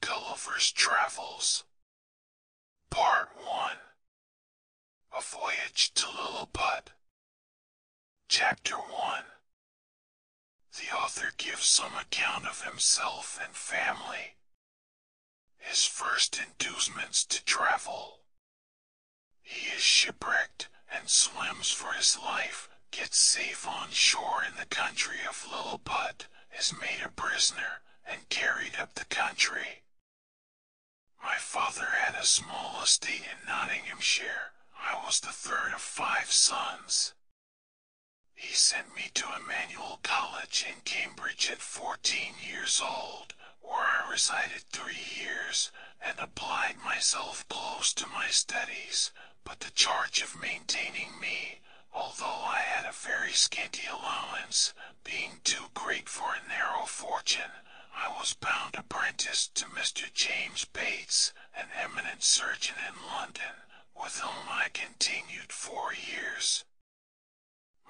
Gulliver's Travels Part 1 A Voyage to Lilliput Chapter 1 The author gives some account of himself and family. His first inducements to travel. He is shipwrecked and swims for his life, gets safe on shore in the country of Lilliput, is made a prisoner and carried up the country. My father had a small estate in Nottinghamshire. I was the third of five sons. He sent me to Emmanuel College in Cambridge at fourteen years old, where I resided three years and applied myself close to my studies, but the charge of maintaining me although I had a very scanty allowance, being too great for a narrow fortune, I was bound apprentice to Mr. James Bates, an eminent surgeon in London, with whom I continued four years.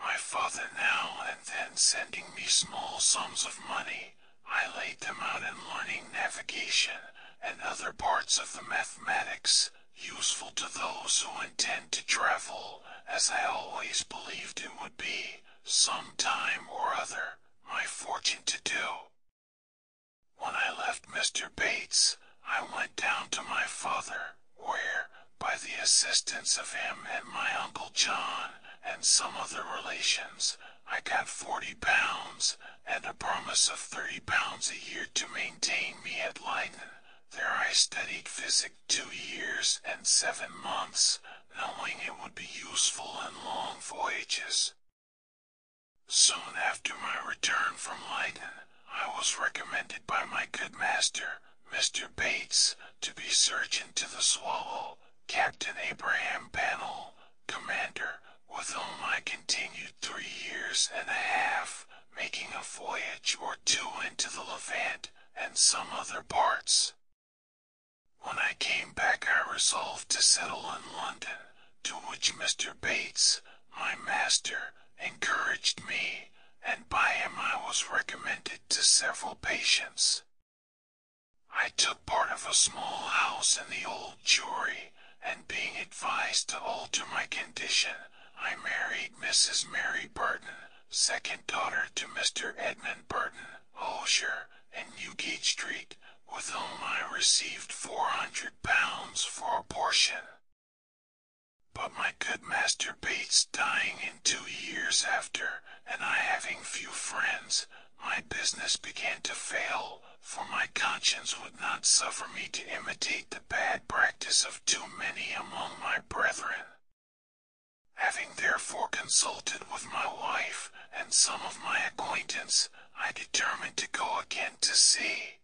My father now and then sending me small sums of money, I laid them out in learning navigation and other parts of the mathematics, useful to those who intend to travel, as I always believed it would be, some time or other, my fortune to do. When I left Mr. Bates, I went down to my father, where, by the assistance of him and my Uncle John, and some other relations, I got forty pounds, and a promise of thirty pounds a year to maintain me at Leyden there I studied physic two years and seven months, knowing it would be useful in long voyages. Soon after my return from Leyden, I was recommended by my good master, Mr. Bates, to be surgeon to the Swallow, Captain Abraham Pannell, commander, with whom I continued three years and a half, making a voyage or two into the Levant and some other parts. When I came back I resolved to settle in London, to which Mr. Bates, my master, encouraged me, and by him I was recommended to several patients. I took part of a small house in the Old Jewry, and being advised to alter my condition, I married Mrs. Mary Burton, second daughter to Mr. Edmund Burton, Holshire, in Newgate Street, with whom I received four hundred pounds for abortion. But my good master Bates dying in two years after, and I having few friends, my business began to fail, for my conscience would not suffer me to imitate bad practice of too many among my brethren. Having therefore consulted with my wife and some of my acquaintance, I determined to go again to sea.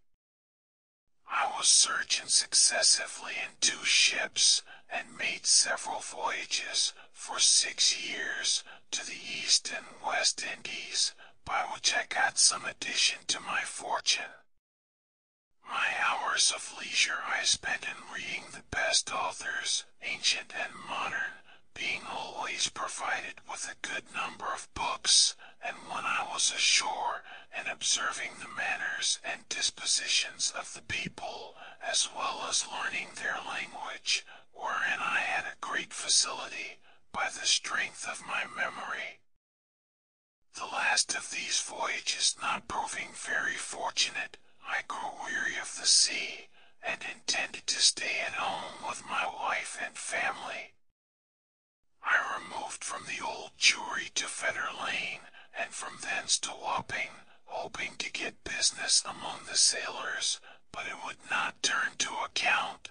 I was surgeon successively in two ships, and made several voyages for six years to the East and West Indies, by which I got some addition to my fortune. My hours of leisure I spent in reading the best authors, ancient and modern, being always provided with a good number of books, and when I was ashore, and observing the manners and dispositions of the people, as well as learning their language, wherein I had a great facility, by the strength of my memory. The last of these voyages not proving very fortunate, I grew weary of the sea, and intended to stay at home with my wife and family. I removed from the old Jewry to Fetter Lane, and from thence to Wapping, hoping to get business among the sailors, but it would not turn to account.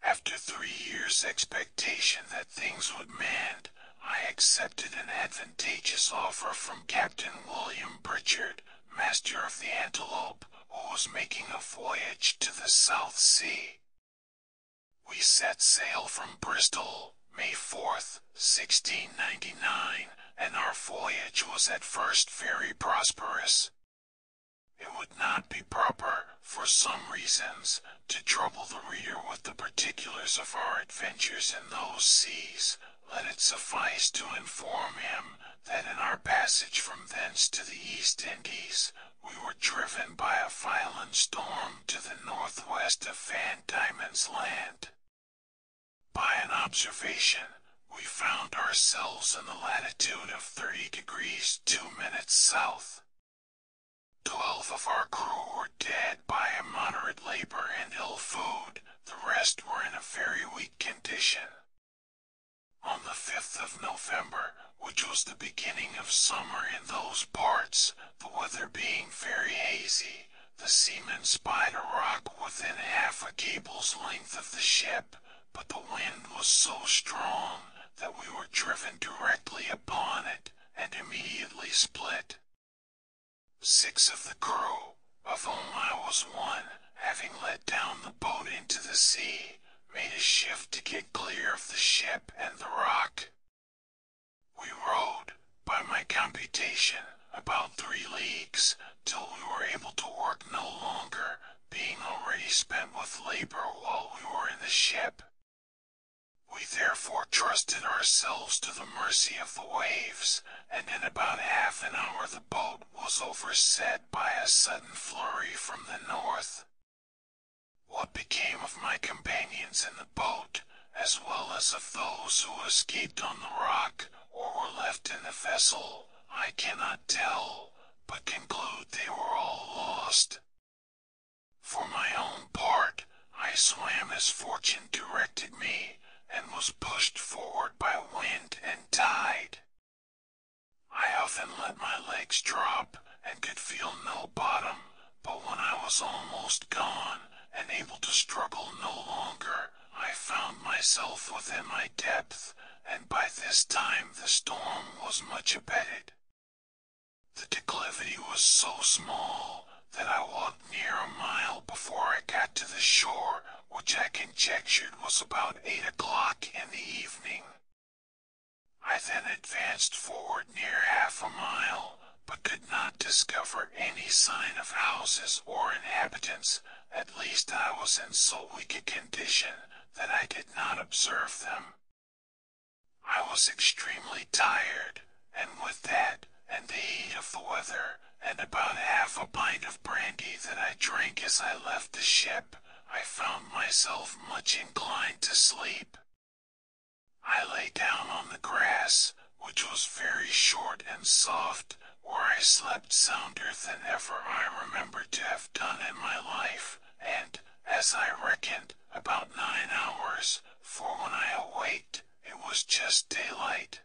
After three years' expectation that things would mend, I accepted an advantageous offer from Captain William Pritchard, master of the Antelope, who was making a voyage to the South Sea. We set sail from Bristol, May 4, 1699, and our voyage was at first very prosperous. It would not be proper for some reasons, to trouble the reader with the particulars of our adventures in those seas, let it suffice to inform him that in our passage from thence to the East Indies, we were driven by a violent storm to the northwest of Van Diemen's Land. By an observation, we found ourselves in the latitude of 30 degrees 2 minutes south, Twelve of our crew were dead by immoderate labor and ill food, the rest were in a very weak condition. On the 5th of November, which was the beginning of summer in those parts, the weather being very hazy, the seamen spied a rock within half a cable's length of the ship, but the wind was so strong that we were driven directly upon it, and immediately split. Six of the crew, of whom I was one, having let down the boat into the sea, made a shift to get clear of the ship and the rock. We rowed, by my computation, about three leagues, till we were able to work no longer, being already spent with labor while we were in the ship. We therefore trusted ourselves to the mercy of the waves, and in about half an hour the boat was overset by a sudden flurry from the north. What became of my companions in the boat, as well as of those who escaped on the rock or were left in the vessel, I cannot tell, but conclude they were all lost. For my own part, I swam as fortune directed me, and was pushed forward by wind and tide. I often let my legs drop, and could feel no bottom, but when I was almost gone, and able to struggle no longer, I found myself within my depth, and by this time the storm was much abated. The declivity was so small that I walked near a mile before I got to the shore, which I conjectured was about eight o'clock in the evening. I then advanced forward near half a mile, but could not discover any sign of houses or inhabitants. At least I was in so weak a condition that I did not observe them. I was extremely tired, and with that, and the heat of the weather, and about half a pint of brandy that I drank as I left the ship, I found myself much inclined to sleep. I lay down on the grass, which was very short and soft, where I slept sounder than ever I remembered to have done in my life, and, as I reckoned, about nine hours, for when I awaked, it was just daylight.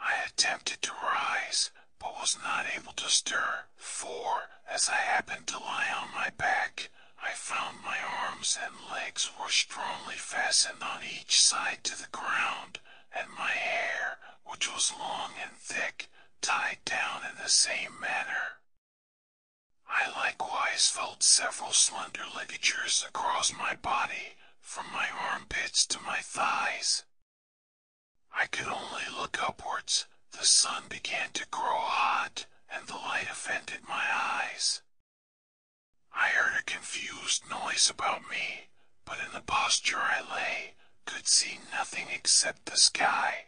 I attempted to rise, but was not able to stir, for, as I happened to lie on my back, I found my arms and legs were strongly fastened on each side to the ground, and my hair, which was long and thick, tied down in the same manner. I likewise felt several slender ligatures across my body, from my armpits to my thighs. I could only look upwards, the sun began to grow hot, and the light offended my eyes. I heard a confused noise about me, but in the posture I lay, could see nothing except the sky.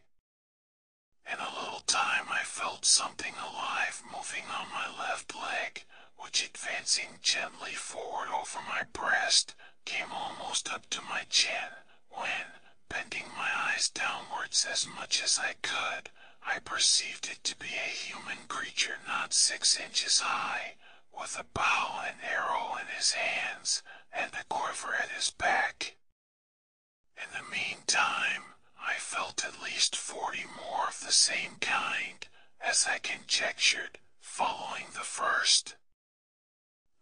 In a little time I felt something alive moving on my left leg, which advancing gently forward over my breast, came almost up to my chin, when, bending my eyes downwards as much as I could, I perceived it to be a human creature not six inches high, with a bow and arrow in his hands, and a quiver at his back. In the meantime, I felt at least forty more of the same kind, as I conjectured, following the first.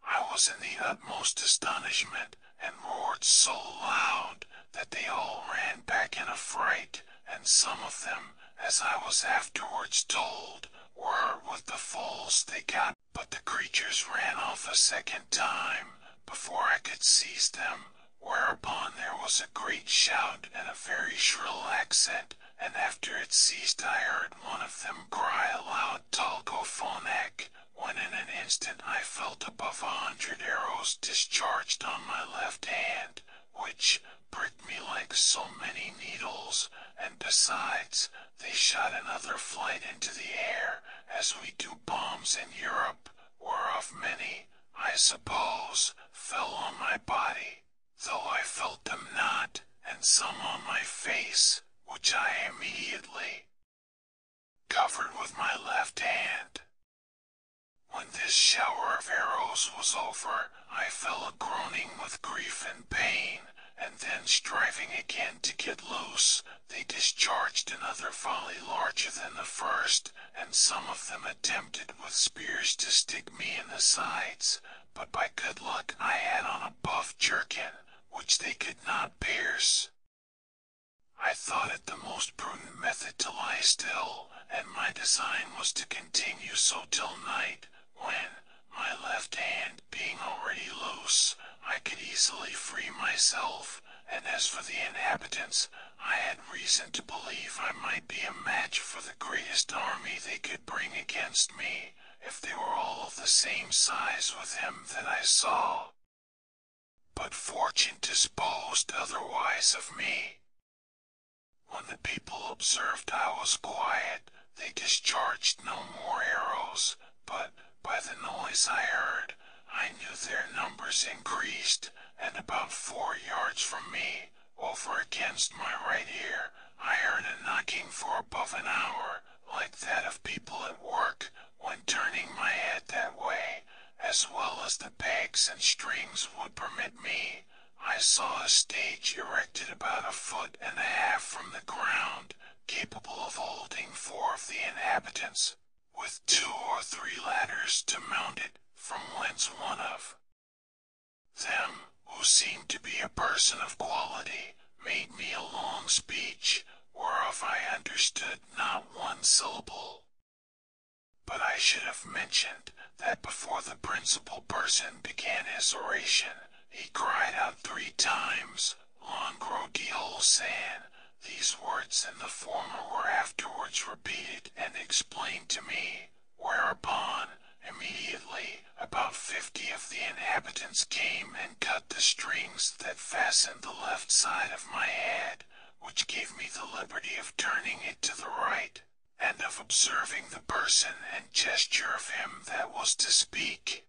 I was in the utmost astonishment, and roared so loud that they all ran back in a fright, and some of them, as I was afterwards told, were with the foals they got, but the creatures ran off a second time, before I could seize them, whereupon there was a great shout and a very shrill accent, and after it ceased I heard one of them cry aloud Talkophonak, when in an instant I felt above a hundred arrows discharged on my left hand, which pricked me like so many needles, and besides, they shot another flight into the air, as we do bombs in Europe were of many, I suppose, fell on my body, though I felt them not, and some on my face, which I immediately covered with my left hand. When this shower of arrows was over, I fell a groaning with grief and pain, and then striving again to get loose, they discharged another volley larger than the first, and some of them attempted with spears to stick me in the sides, but by good luck I had on a buff jerkin, which they could not pierce. I thought it the most prudent method to lie still, and my design was to continue so till night, when, my left hand being already loose, I could easily free myself, and as for the inhabitants, I had reason to believe I might be a match for the greatest army they could bring against me, if they were all of the same size with him that I saw. But fortune disposed otherwise of me. When the people observed I was quiet, they discharged no more arrows, but by the noise I heard, I knew their numbers increased, and about four yards from me over against my right ear, I heard a knocking for above an hour, like that of people at work, when turning my head that way, as well as the pegs and strings would permit me. I saw a stage erected about a foot and a half from the ground, capable of holding four of the inhabitants, with two or three ladders to mount it, from whence one of them, who seemed to be a person of quality, made me a long speech, whereof I understood not one syllable. But I should have mentioned that before the principal person began his oration, he cried out three times, Longrogiol San. These words and the former were afterwards repeated and explained to me, whereupon immediately about fifty of the inhabitants came and cut the strings that fastened the left side of my head, which gave me the liberty of turning it to the right, and of observing the person and gesture of him that was to speak.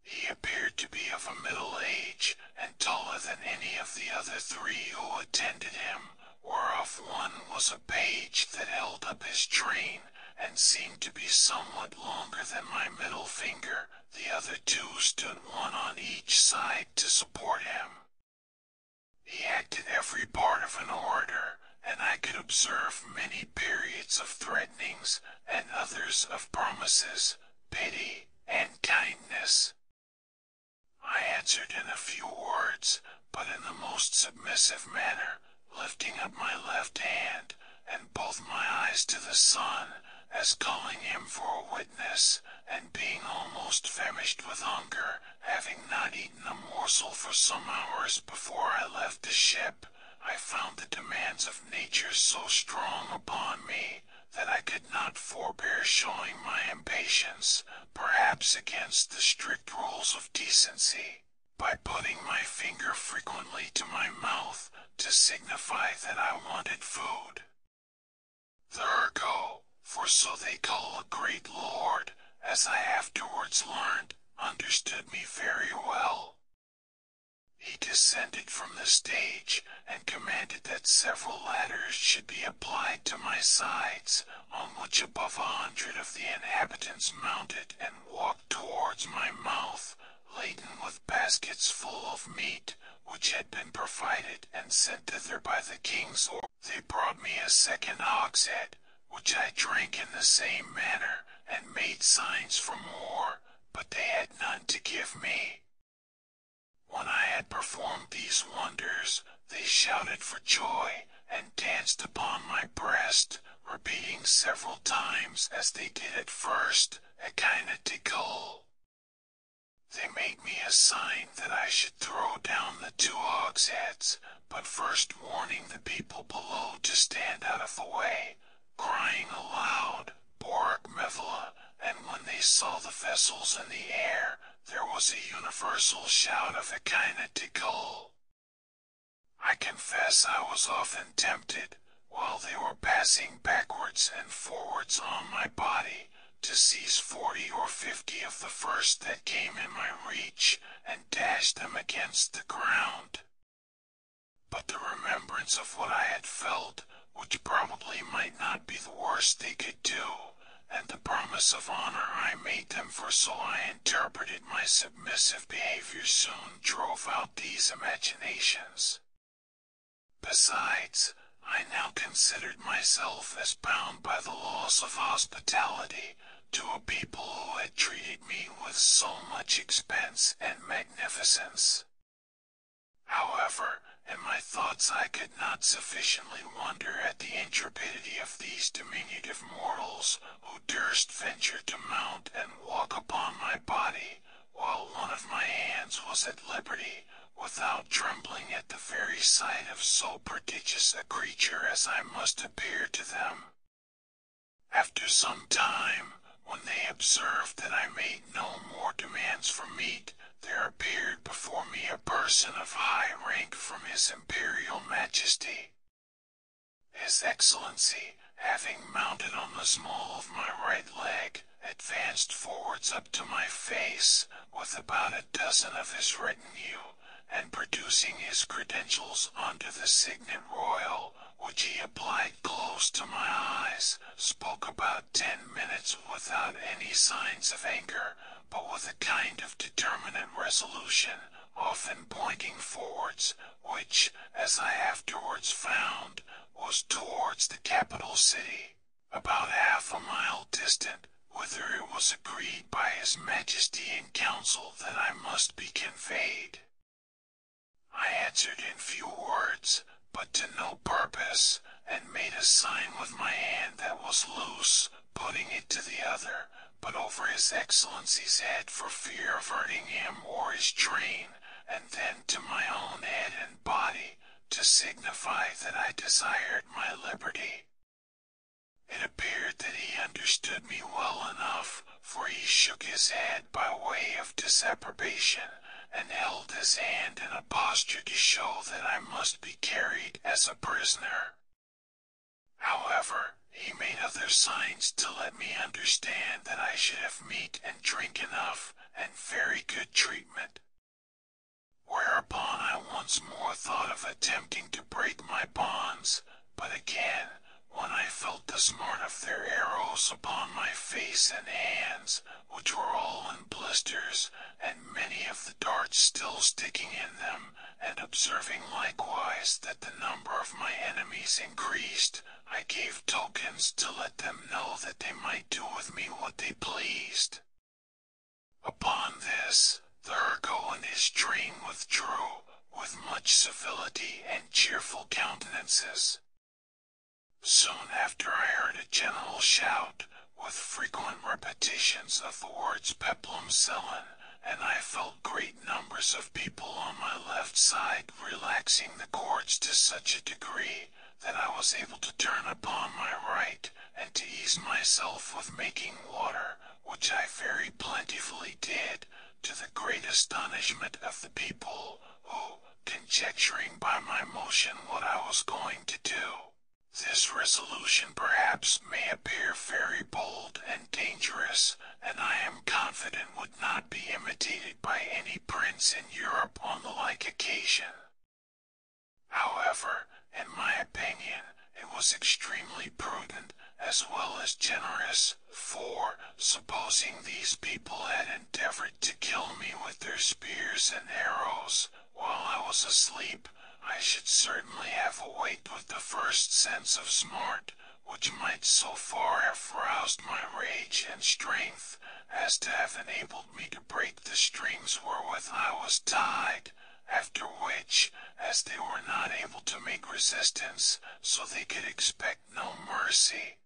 He appeared to be of a middle age, and taller than any of the other three who attended him, whereof one was a page that held up his train, and seemed to be somewhat longer than my middle finger, the other two stood one on each side to support him. He acted every part of an orator, and I could observe many periods of threatenings, and others of promises, pity, and kindness, I answered in a few words, but in the most submissive manner, lifting up my left hand, and both my eyes to the sun, as calling him for a witness, and being almost famished with hunger, having not eaten a morsel for some hours before I left the ship, I found the demands of nature so strong upon me, that I could not forbear showing my impatience perhaps against the strict rules of decency, by putting my finger frequently to my mouth to signify that I wanted food. The for so they call a great lord, as I afterwards learned, understood me very well. He descended from the stage and commanded that several ladders should be applied to my sides on which above a hundred of the inhabitants mounted and walked towards my mouth, laden with baskets full of meat, which had been provided and sent thither by the king's order. They brought me a second ox head, which I drank in the same manner, and made signs for more, but they had none to give me. When I had performed these wonders, they shouted for joy and danced upon my breast, repeating several times as they did at first, a kind of tickle. They made me a sign that I should throw down the two hogsheads, but first warning the people below to stand out of the way, crying aloud, Borak Mevla, and when they saw the vessels in the air, there was a universal shout of a kind of I confess I was often tempted, while they were passing backwards and forwards on my body, to seize forty or fifty of the first that came in my reach, and dash them against the ground. But the remembrance of what I had felt, which probably might not be the worst they could do, and the promise of honor I made them, for so I interpreted my submissive behavior soon drove out these imaginations. Besides, I now considered myself as bound by the laws of hospitality to a people who had treated me with so much expense and magnificence. However, in my thoughts I could not sufficiently wonder at the intrepidity of these diminutive mortals who durst venture to mount and walk upon my body, while one of my hands was at liberty, without trembling at the very sight of so prodigious a creature as I must appear to them. After some time, when they observed that I made no more demands for meat, there appeared before me a person of high rank from his imperial majesty. His excellency, having mounted on the small of my right leg, advanced forwards up to my face, with about a dozen of his retinue, and producing his credentials under the signet royal, which he applied close to my eyes, spoke about ten minutes without any signs of anger, but with a kind of determinate resolution, often pointing forwards, which, as I afterwards found, was towards the capital city, about half a mile distant, whither it was agreed by his majesty in council that I must be conveyed. I answered in few words, but to no purpose, and made a sign with my hand that was loose, putting it to the other, but over his excellency's head for fear of hurting him or his train, and then to my own head and body, to signify that I desired my liberty. It appeared that he understood me well enough, for he shook his head by way of disapprobation, and held his hand in a posture to show that I must be carried as a prisoner. However, he made other signs to let me understand that I should have meat and drink enough, and very good treatment. Whereupon I once more thought of attempting to break my bonds, but again, when I felt the smart of their arrows upon my face and hands, which were all in blisters, and many of the darts still sticking in them, and observing likewise that the number of my enemies increased, I gave tokens to let them know that they might do with me what they pleased. Upon this, the Ergo and his train withdrew, with much civility and cheerful countenances. Soon after I heard a general shout, with frequent repetitions of the words peplum selin, and I felt great numbers of people on my left side relaxing the cords to such a degree that I was able to turn upon my right and to ease myself with making water, which I very plentifully did, to the great astonishment of the people, who, conjecturing by my motion what I was going to do, this resolution perhaps may appear very bold dangerous, and I am confident would not be imitated by any prince in Europe on the like occasion. However, in my opinion, it was extremely prudent, as well as generous, for, supposing these people had endeavored to kill me with their spears and arrows, while I was asleep, I should certainly have awaked with the first sense of smart, which might so far have roused my rage and strength as to have enabled me to break the strings wherewith I was tied, after which, as they were not able to make resistance, so they could expect no mercy.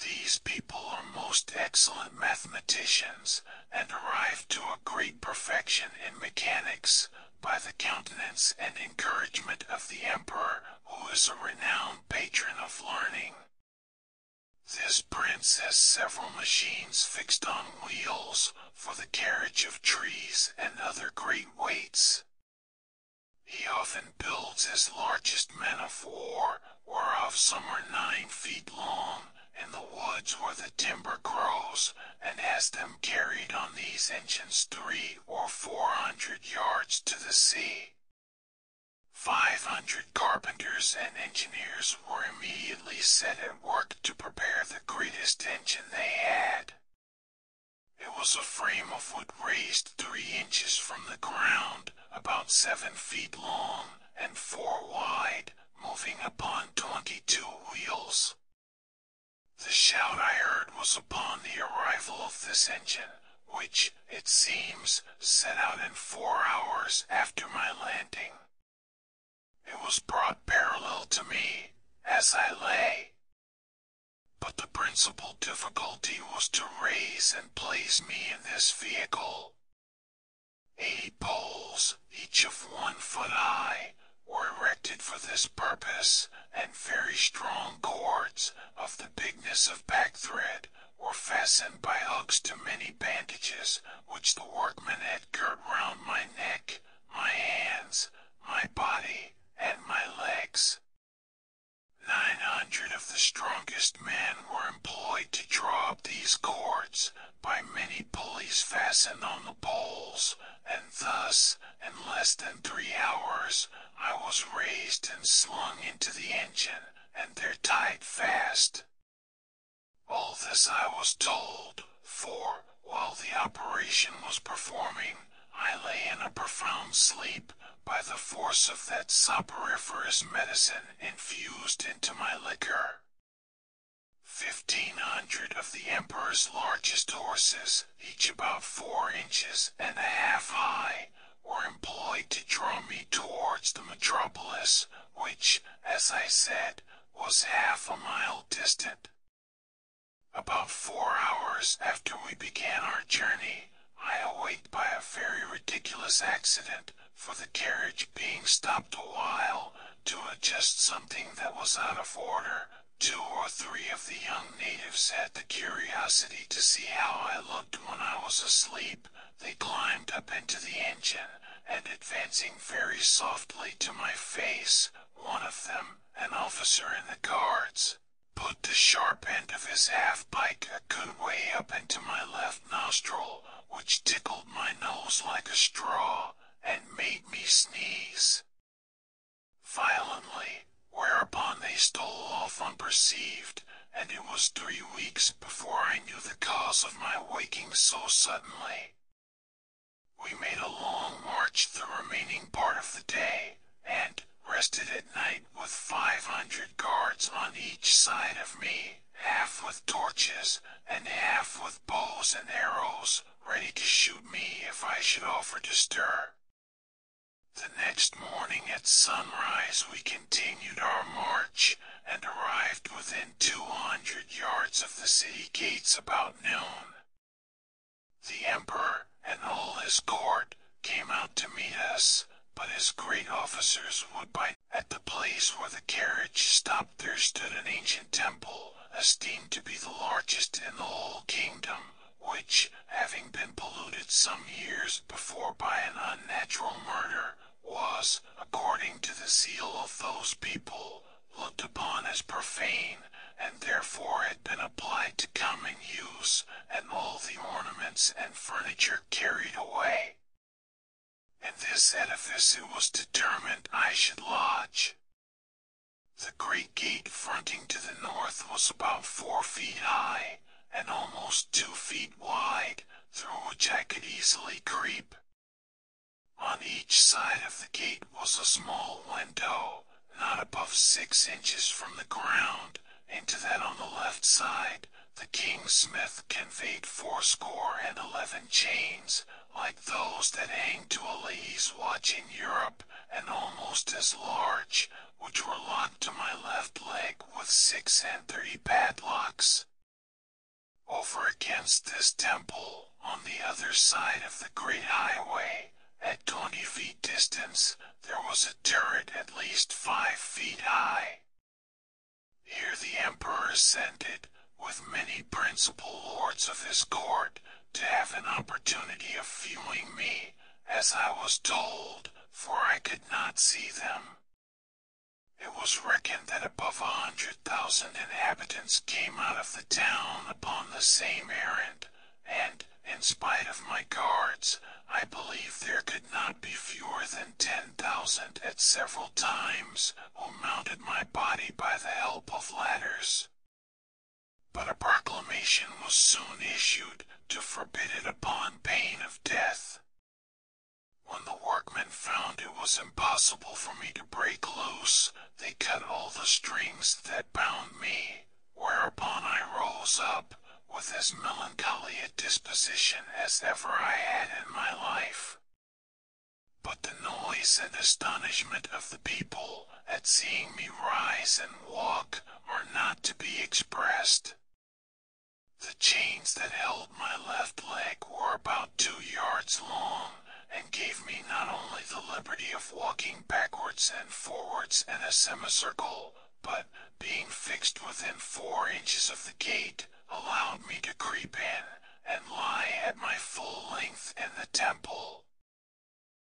These people are most excellent mathematicians, and arrive to a great perfection in mechanics, by the countenance and encouragement of the emperor, who is a renowned patron of learning. This prince has several machines fixed on wheels for the carriage of trees and other great weights. He often builds his largest men of war, whereof some are nine feet long, in the woods where the timber grows, and has them carried on these engines three or four hundred yards to the sea. Five hundred carpenters and engineers were immediately set at work to prepare the greatest engine they had. It was a frame of wood raised three inches from the ground, about seven feet long and four wide, moving upon twenty-two wheels. The shout I heard was upon the arrival of this engine, which, it seems, set out in four hours after my landing. It was brought parallel to me, as I lay. But the principal difficulty was to raise and place me in this vehicle. Eight poles, each of one foot high, were erected for this purpose, and very strong cords of the bigness of thread were fastened by hooks to many bandages which the workmen had girt round my neck, my hands, my body, and my legs. Nine hundred of the strongest men were employed to draw up these cords by many pulleys fastened on the poles, and thus in less than three hours I was raised and slung into the engine, and there tied fast. All this I was told, for, while the operation was performing, I lay in a profound sleep by the force of that soporiferous medicine infused into my liquor. Fifteen hundred of the emperor's largest horses each about four inches and a half high, were employed to draw me towards the metropolis, which, as I said, was half a mile distant. About four hours after we began our journey, I awaked by a very ridiculous accident, for the carriage being stopped a while to adjust something that was out of order, Two or three of the young natives had the curiosity to see how I looked when I was asleep. They climbed up into the engine, and advancing very softly to my face, one of them, an officer in the guards, put the sharp end of his half pike a good way up into my left nostril, which tickled my nose like a straw, and made me sneeze violently, whereupon they stole off unperceived, and it was three weeks before I knew the cause of my waking so suddenly. We made a long march the remaining part of the day, and rested at night with five hundred guards on each side of me, half with torches, and half with bows and arrows, ready to shoot me if I should offer to stir. The next morning at sunrise we continued our march, and arrived within two hundred yards of the city gates about noon. The emperor and all his court came out to meet us, but as great officers would by at the place where the carriage stopped there stood an ancient temple, esteemed to be the largest in the whole kingdom which, having been polluted some years before by an unnatural murder, was, according to the zeal of those people, looked upon as profane, and therefore had been applied to common use, and all the ornaments and furniture carried away. In this edifice it was determined I should lodge. The great gate fronting to the north was about four feet high and almost two feet wide, through which I could easily creep. On each side of the gate was a small window, not above six inches from the ground, into that on the left side the king's smith conveyed fourscore and eleven chains, like those that hang to a lady's watch in Europe, and almost as large, which were locked to my left leg with six and three padlocks. Over against this temple, on the other side of the great highway, at twenty feet distance, there was a turret at least five feet high. Here the emperor ascended, with many principal lords of his court, to have an opportunity of viewing me, as I was told, for I could not see them. It was reckoned that above a hundred thousand inhabitants came out of the town upon the same errand, and, in spite of my guards, I believe there could not be fewer than ten thousand at several times, who mounted my body by the help of ladders. But a proclamation was soon issued to forbid it upon pain of death. When the workmen found it was impossible for me to break loose, they cut all the strings that bound me, whereupon I rose up, with as melancholy a disposition as ever I had in my life. But the noise and astonishment of the people at seeing me rise and walk are not to be expressed. The chains that held my left leg were about two yards long and gave me not only the liberty of walking backwards and forwards in a semicircle, but, being fixed within four inches of the gate, allowed me to creep in and lie at my full length in the temple.